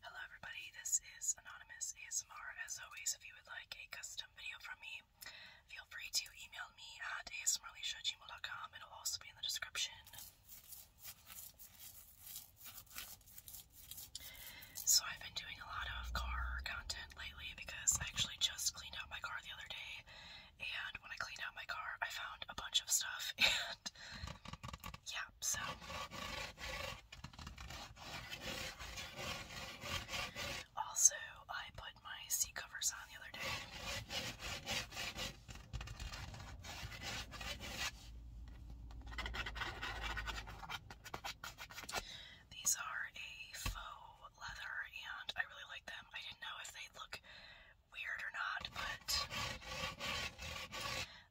Hello, everybody. This is Anonymous ASMR. As always, if you would like a custom video from me, feel free to email me at asmrleisha@gmail.com. It'll also be in the description. So I've been doing a lot of car content lately because I actually just cleaned out my car the other day, and when I cleaned out my car, I found a bunch of stuff. yeah, so also I put my seat covers on the other day. These are a faux leather and I really like them. I didn't know if they look weird or not, but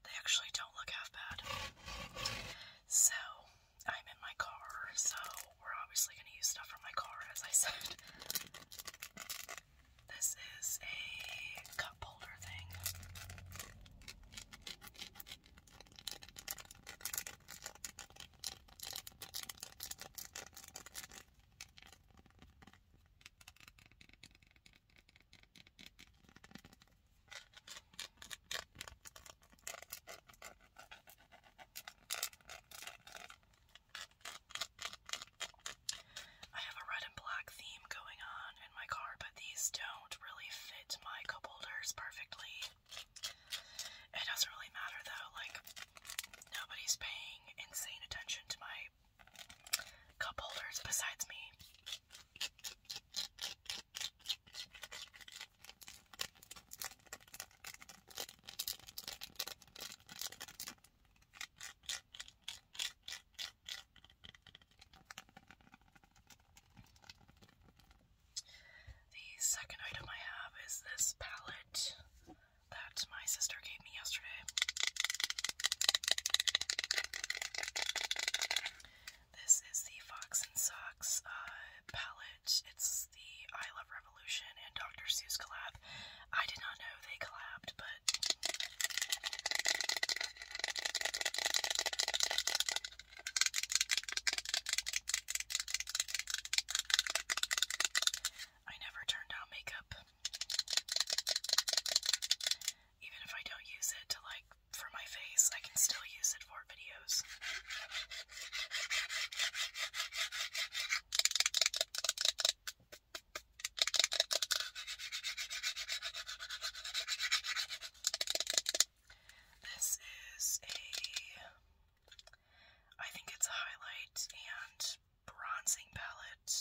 they actually don't look half bad. So, I'm in my car, so we're obviously going to use stuff from my car, as I said. This is a cup holder thing. I have a red and black theme going on in my car, but these don't really fit my cup perfectly. It doesn't really matter though, like, nobody's paying insane attention to my cup holders besides me. The second item I have is this palette that my sister gave me yesterday. This is the Fox and Socks uh, palette. It's the I Love Revolution and Dr. Seuss collab. I did not know they collabed, but I never turned down makeup. Even if I don't use it to like for my face, I can still use it for videos. This is a I think it's a highlight and bronzing palette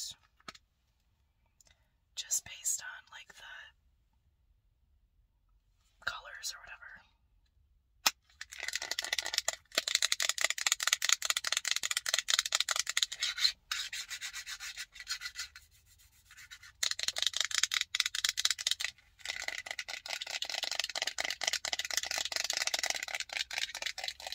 just based on like the colors or whatever.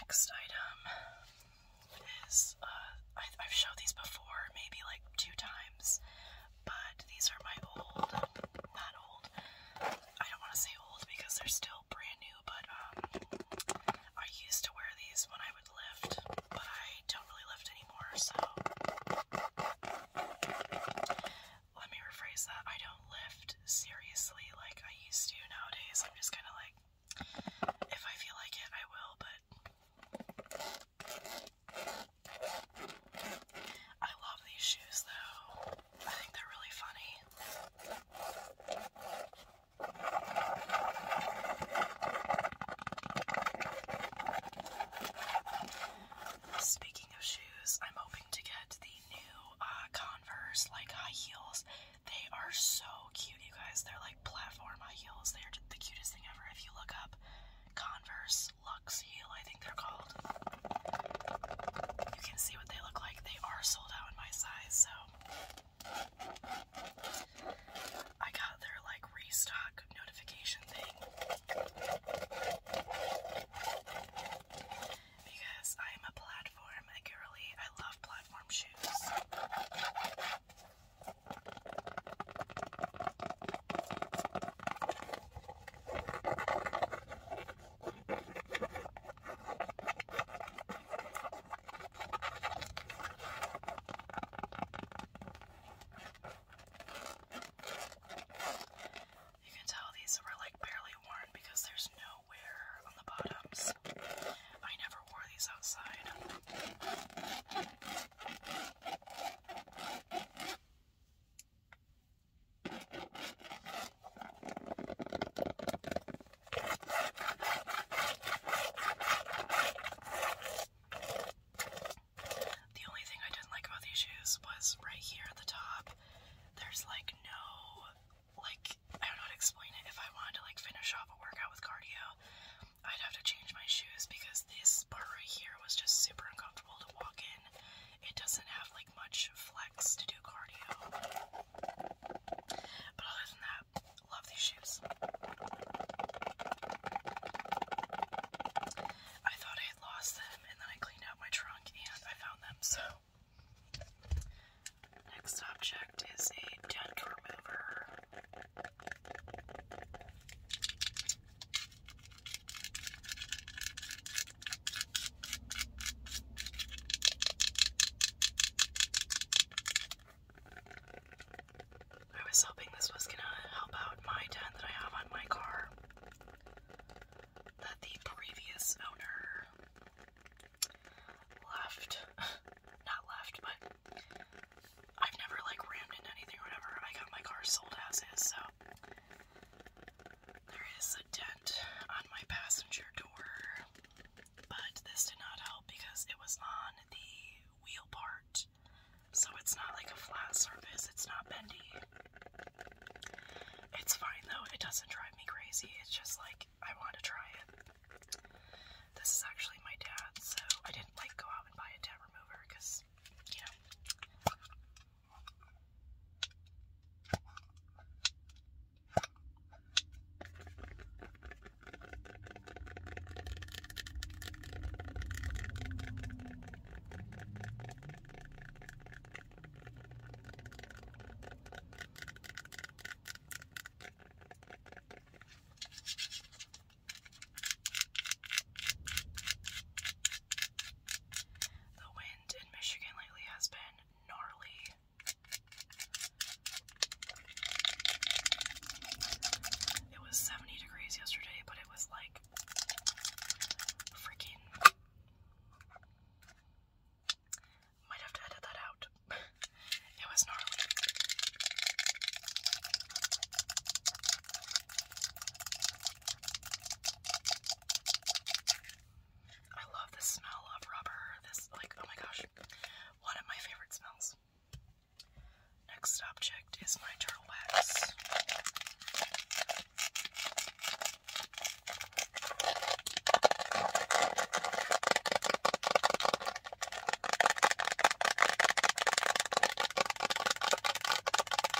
Next item is uh, I, I've shown these before, maybe like two times, but these are my old, not old, I don't want to say old because they're still brand new, but um, I used to wear these when I would lift, but I don't really lift anymore, so let me rephrase that. I don't lift seriously like I used to nowadays. I'm just kind of like, if I feel like it, I will, but I love these shoes though. I think they're really funny. Speaking of shoes, I'm hoping to get the new uh, Converse, like high heels. They are so cute, you guys. They're like platform high heels. They are the cutest thing ever. If you look up Converse those Lux Heal, I think they're called. You can see what they look like. They are sold out in my size, so I got their like restock notification thing because I am a platform a girly. I love platform shoes. You can tell these were like barely worn because there's no wear on the bottoms. I never wore these outside. The only thing I didn't like about these shoes was right here at the top. There's like no, like, I don't know how to explain it. If I wanted to like finish off a workout with cardio, I'd have to change my shoes because this part right here was just super uncomfortable to walk in. It doesn't have like much flex to do cardio. But other than that, love these shoes. I thought I had lost them and then I cleaned out my trunk and I found them, so. Next object is a dent remover. I was hoping this was gonna help out my tent that I have on my car. That the previous owner left. Not left, but I've never like rammed into anything or whatever. I got my car sold as is, so there is a dent on my passenger door, but this did not help because it was on the wheel part. So it's not like a flat surface, it's not bendy. It's fine though, it doesn't drive me crazy, it's just like I want to try it. This is actually my dad, so I didn't like go out and buy a dent remover because, you know, the way in Michigan lately has been gnarly. It was 70 degrees yesterday, but it was like freaking. Might have to edit that out. it was gnarly. I love the smell of rubber. This, like, oh my gosh, one of my favorite smells. Next object is my turtle wax.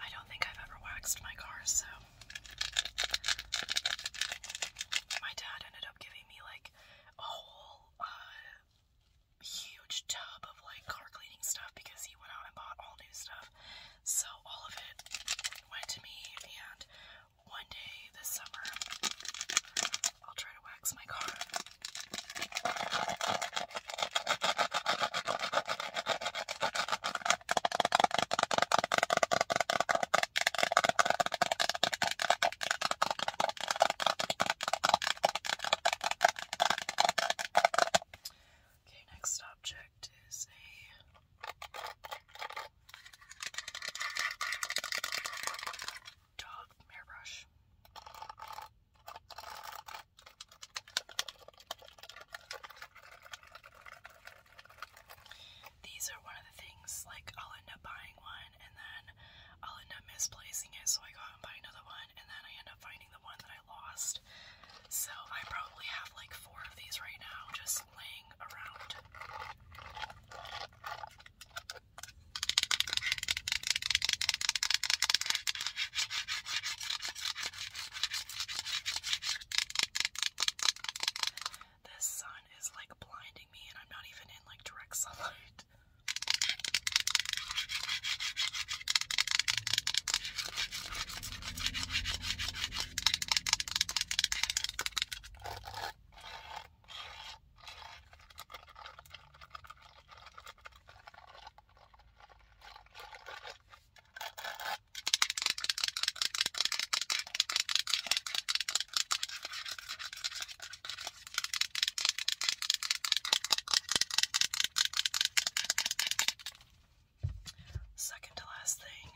I don't think I've ever waxed my car, so my dad ended up giving me like a whole uh, huge tub of like car cleaning stuff because he went out and bought all new stuff. So all of it went to me, and one day this summer I'll try to wax my car. Okay, next object is a dog mirror brush. These are one of the things, like, I'll end up buying one and then I'll end up misplacing it, so I go out and buy another one, and then I end up finding the one that I lost. So I probably have like four of these right now just laying around. This sun is like blinding me, and I'm not even in like direct sunlight. Second to last thing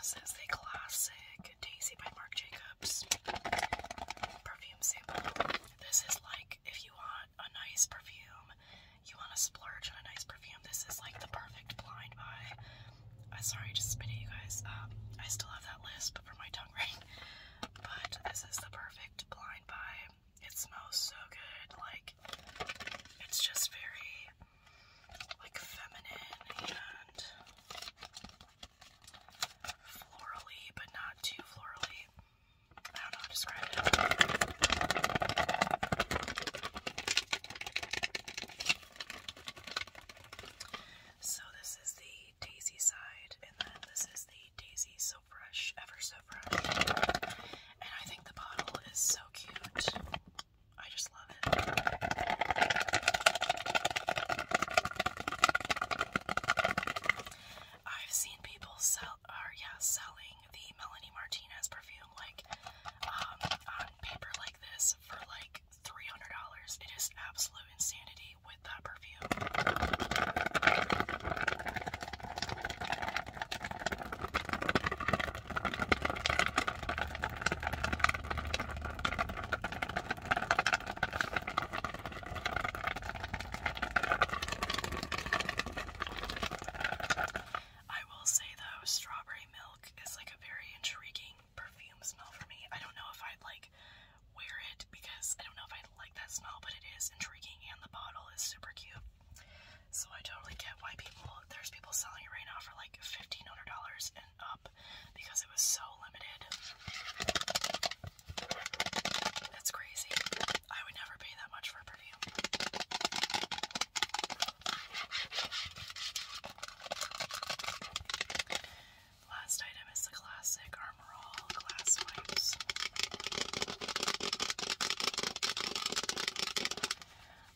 this is the classic Daisy by Marc Jacobs perfume sample. This is like if you want a nice perfume, you want to splurge on a nice perfume. This is like the perfect blind buy. I'm sorry, just spit it, you guys. Um, I still have that lisp for my tongue ring, but this is the perfect blind buy. It smells so good, like it's just very like feminine and florally, but not too florally. I don't know how to describe it. So this is the daisy side, and then this is the daisy so fresh, ever so fresh. And I think the bottle is so cute. I just love I've seen people sell, yeah, selling the Melanie Martinez perfume like um, on paper like this for like three hundred dollars. It is absolute insanity with that perfume. I will say though, strawberry milk is like a very intriguing perfume smell for me. I don't know if I'd like wear it because I don't know if I'd like that smell, but it is intriguing and the bottle is super cute. So I totally get why people there's people selling it right now for like $1,500 up because it was so limited. That's crazy. I would never pay that much for a perfume. Last item is the classic Armorall glass wipes.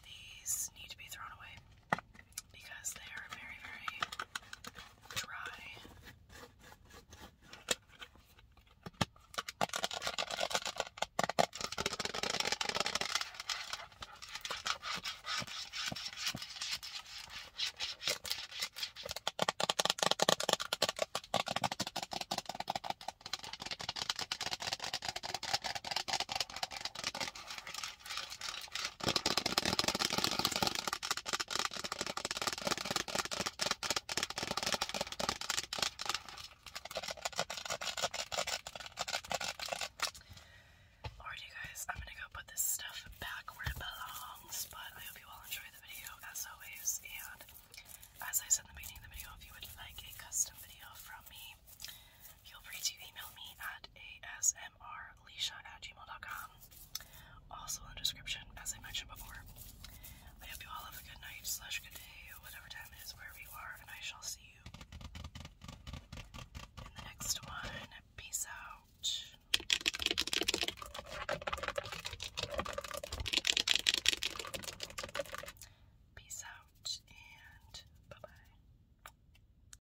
These need to be thrown away because they are very, very dry. Alrighty guys, I'm gonna go put this stuff back where it belongs, but I hope you all enjoy the video as always, and as I said in the beginning of the video, if you would like a custom video from me, Feel free to email me at asmrleishan at gmail.com. Also in the description, as I mentioned before. I hope you all have a good night slash good day, whatever time it is wherever you are, and I shall see you in the next one. Peace out. Peace out and bye bye.